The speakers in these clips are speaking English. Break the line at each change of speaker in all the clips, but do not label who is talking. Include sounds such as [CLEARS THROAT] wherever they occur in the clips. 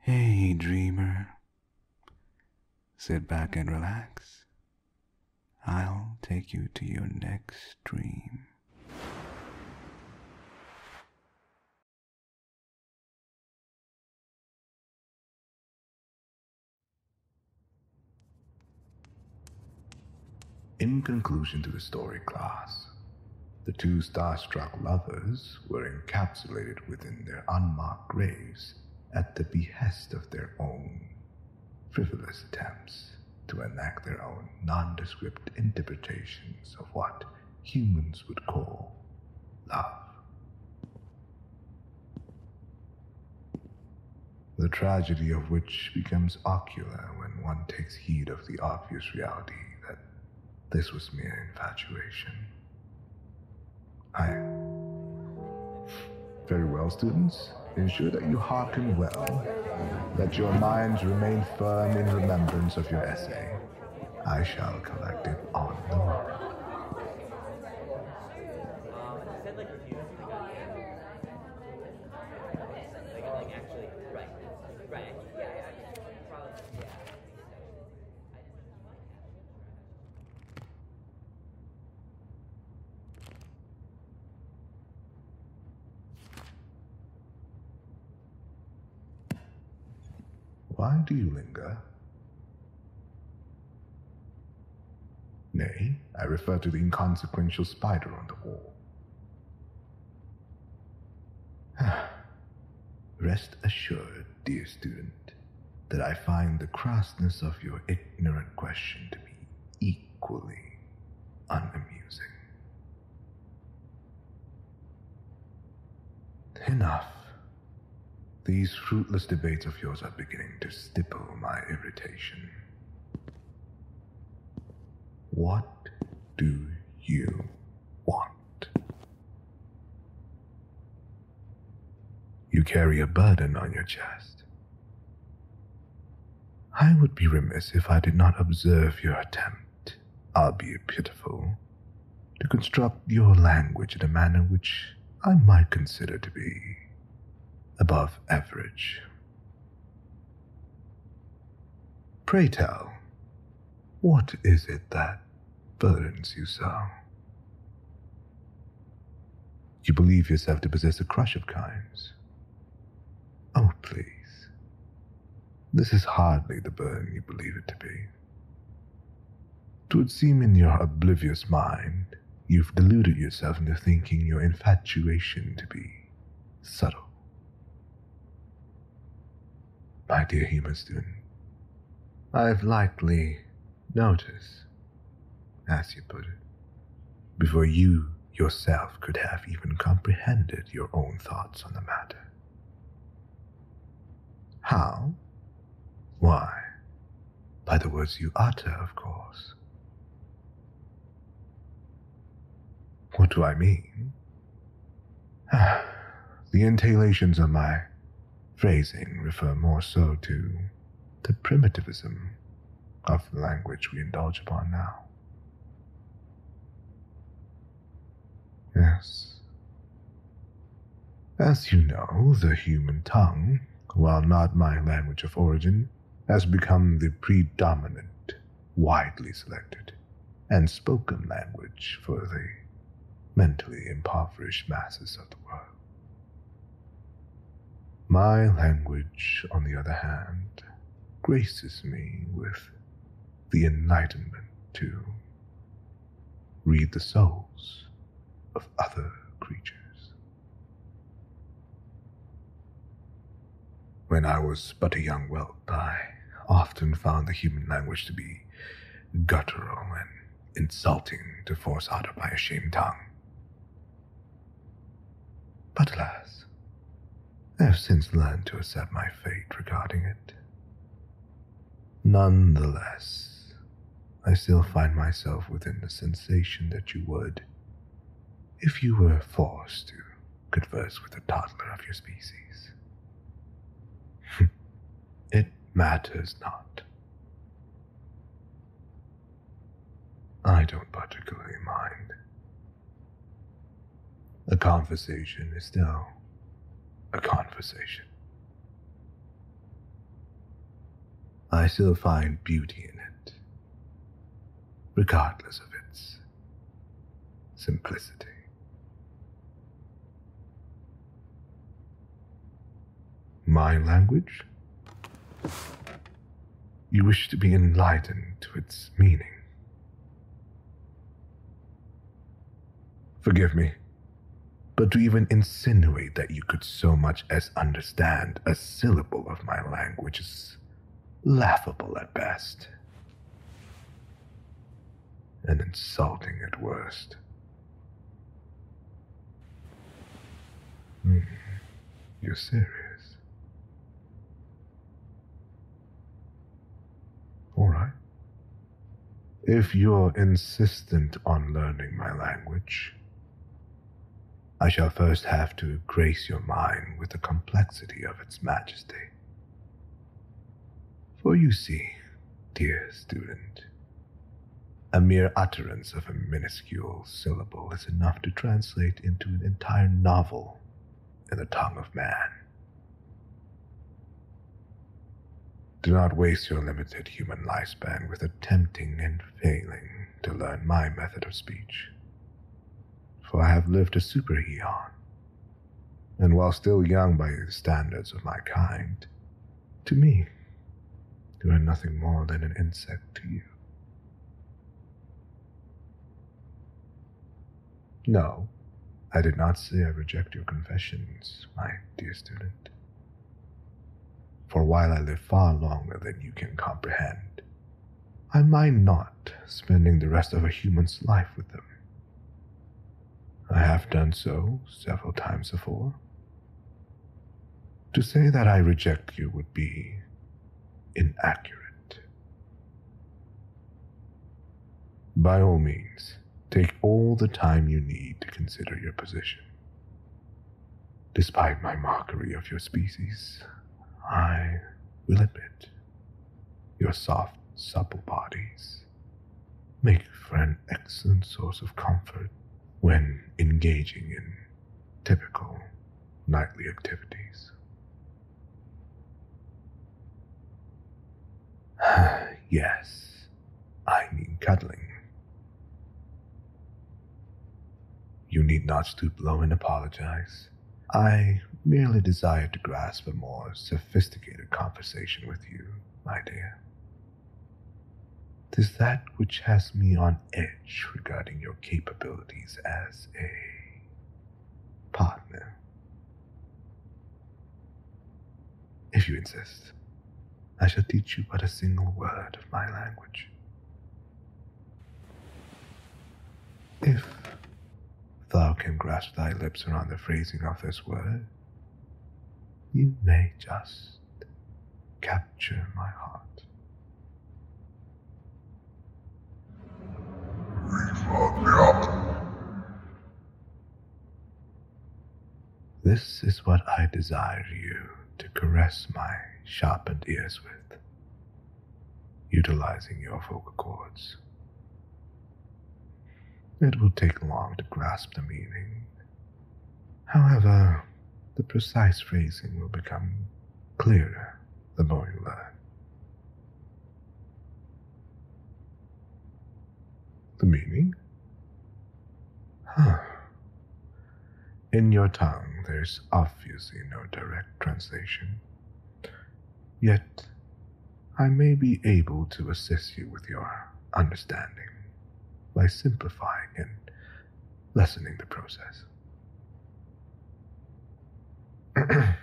Hey, dreamer. Sit back and relax. I'll take you to your next dream. In conclusion to the story class, the two starstruck lovers were encapsulated within their unmarked graves at the behest of their own frivolous attempts to enact their own nondescript interpretations of what humans would call love. The tragedy of which becomes ocular when one takes heed of the obvious reality that this was mere infatuation. I. Very well, students. Ensure that you hearken well. Let your minds remain firm in remembrance of your essay. I shall collect it on the morrow. Why do you linger? Nay, I refer to the inconsequential spider on the wall. [SIGHS] Rest assured, dear student, that I find the crassness of your ignorant question to be equally unamusing. Enough. These fruitless debates of yours are beginning to stipple my irritation. What do you want? You carry a burden on your chest. I would be remiss if I did not observe your attempt, I'll be pitiful, to construct your language in a manner which I might consider to be above average. Pray tell, what is it that burdens you so? You believe yourself to possess a crush of kinds. Oh, please. This is hardly the burden you believe it to be. Twould seem in your oblivious mind you've deluded yourself into thinking your infatuation to be subtle. My dear Hema student, I've lightly noticed, as you put it, before you yourself could have even comprehended your own thoughts on the matter. How? Why? By the words you utter, of course. What do I mean? [SIGHS] the intallations of my phrasing refer more so to the primitivism of the language we indulge upon now. Yes. As you know, the human tongue, while not my language of origin, has become the predominant widely selected and spoken language for the mentally impoverished masses of the world. My language, on the other hand, graces me with the enlightenment to read the souls of other creatures. When I was but a young whelp, I often found the human language to be guttural and insulting to force out of my ashamed tongue. But alas, I have since learned to accept my fate regarding it. Nonetheless, I still find myself within the sensation that you would if you were forced to converse with a toddler of your species. [LAUGHS] it matters not. I don't particularly mind. A conversation is still a conversation. I still find beauty in it, regardless of its simplicity. My language? You wish to be enlightened to its meaning. Forgive me, but to even insinuate that you could so much as understand a syllable of my language is laughable at best and insulting at worst. Hmm. You're serious. All right. If you're insistent on learning my language, I shall first have to grace your mind with the complexity of its majesty. For you see, dear student, a mere utterance of a minuscule syllable is enough to translate into an entire novel in the tongue of man. Do not waste your limited human lifespan with attempting and failing to learn my method of speech, for I have lived a super eon and while still young by the standards of my kind, to me, you are nothing more than an insect to you. No, I did not say I reject your confessions, my dear student. For while I live far longer than you can comprehend, I mind not spending the rest of a human's life with them. I have done so several times before. To say that I reject you would be inaccurate. By all means, take all the time you need to consider your position. Despite my mockery of your species, I will admit your soft, supple bodies make for an excellent source of comfort when engaging in typical nightly activities. [SIGHS] yes, I mean cuddling. You need not stoop low and apologize. I merely desired to grasp a more sophisticated a conversation with you, my dear. Tis that which has me on edge regarding your capabilities as a partner. If you insist, I shall teach you but a single word of my language. If thou can grasp thy lips around the phrasing of this word, you may just capture my heart. This is what I desire you to caress my sharpened ears with, utilizing your vocal cords. It will take long to grasp the meaning. However, the precise phrasing will become clearer the more you learn. The meaning? Huh. In your tongue, there's obviously no direct translation. Yet, I may be able to assist you with your understanding by simplifying and lessening the process. [CLEARS THROAT]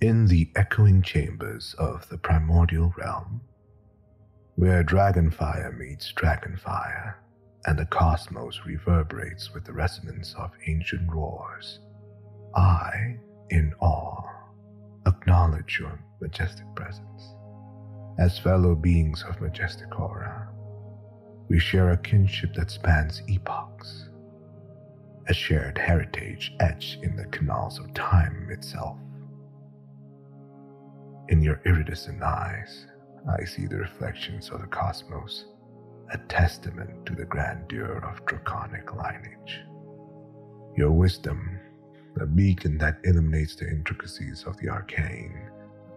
In the echoing chambers of the primordial realm, where dragonfire meets dragonfire, and the cosmos reverberates with the resonance of ancient roars, I in awe, acknowledge your majestic presence. As fellow beings of majestic aura, we share a kinship that spans epochs, a shared heritage etched in the canals of time itself. In your iridescent eyes, I see the reflections of the cosmos, a testament to the grandeur of draconic lineage your wisdom, a beacon that illuminates the intricacies of the arcane,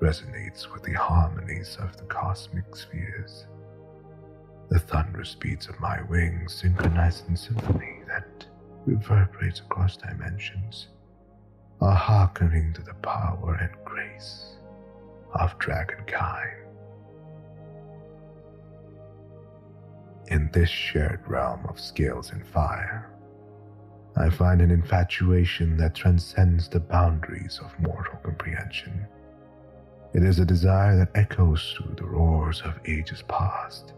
resonates with the harmonies of the cosmic spheres. The thunderous beats of my wings synchronize in symphony that reverberates across dimensions, are hearkening to the power and grace of dragonkind. In this shared realm of scales and fire, I find an infatuation that transcends the boundaries of mortal comprehension. It is a desire that echoes through the roars of ages past,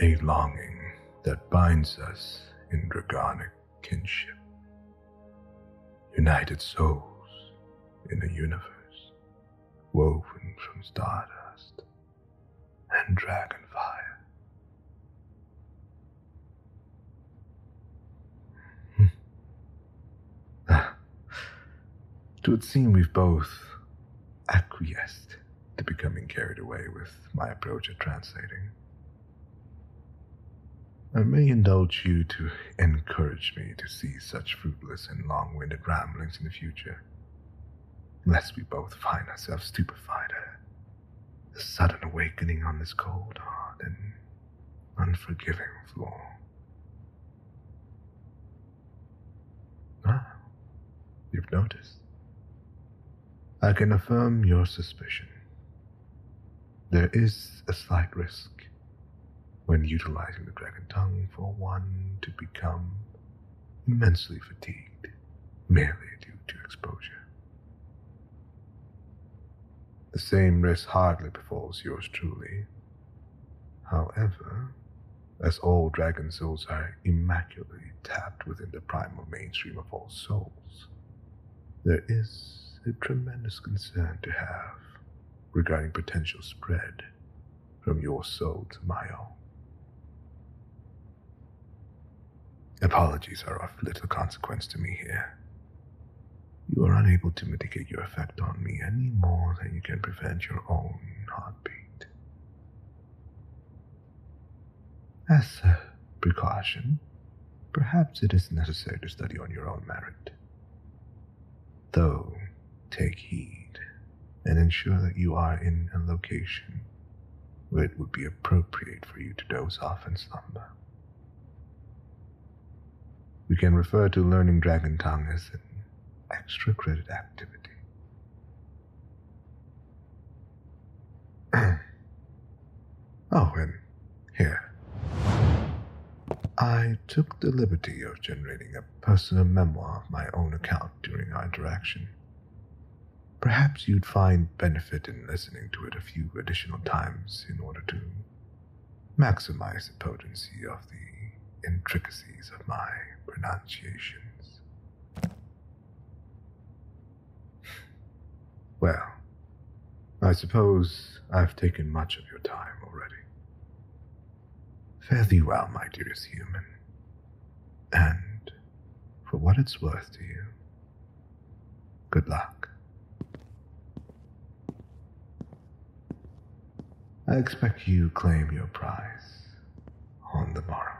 a longing that binds us in draconic kinship, united souls in a universe woven from stardust and dragon fire. Hmm. Ah. it would seem we've both acquiesced to becoming carried away with my approach at translating. I may indulge you to Encourage me to see such fruitless and long winded ramblings in the future, lest we both find ourselves stupefied at the sudden awakening on this cold, hard, and unforgiving floor. Ah, you've noticed. I can affirm your suspicion. There is a slight risk when utilizing the dragon tongue for one to become immensely fatigued merely due to exposure. The same risk hardly befalls yours truly. However, as all dragon souls are immaculately tapped within the primal mainstream of all souls, there is a tremendous concern to have regarding potential spread from your soul to my own. Apologies are of little consequence to me here. You are unable to mitigate your effect on me any more than you can prevent your own heartbeat. As a precaution, perhaps it is necessary to study on your own merit. Though, take heed and ensure that you are in a location where it would be appropriate for you to doze off and slumber. We can refer to learning Dragon Tongue as an extra credit activity. [CLEARS THROAT] oh, and here. I took the liberty of generating a personal memoir of my own account during our interaction. Perhaps you'd find benefit in listening to it a few additional times in order to maximize the potency of the intricacies of my pronunciations. Well, I suppose I've taken much of your time already. Fare thee well, my dearest human, and, for what it's worth to you, good luck. I expect you claim your prize on the morrow.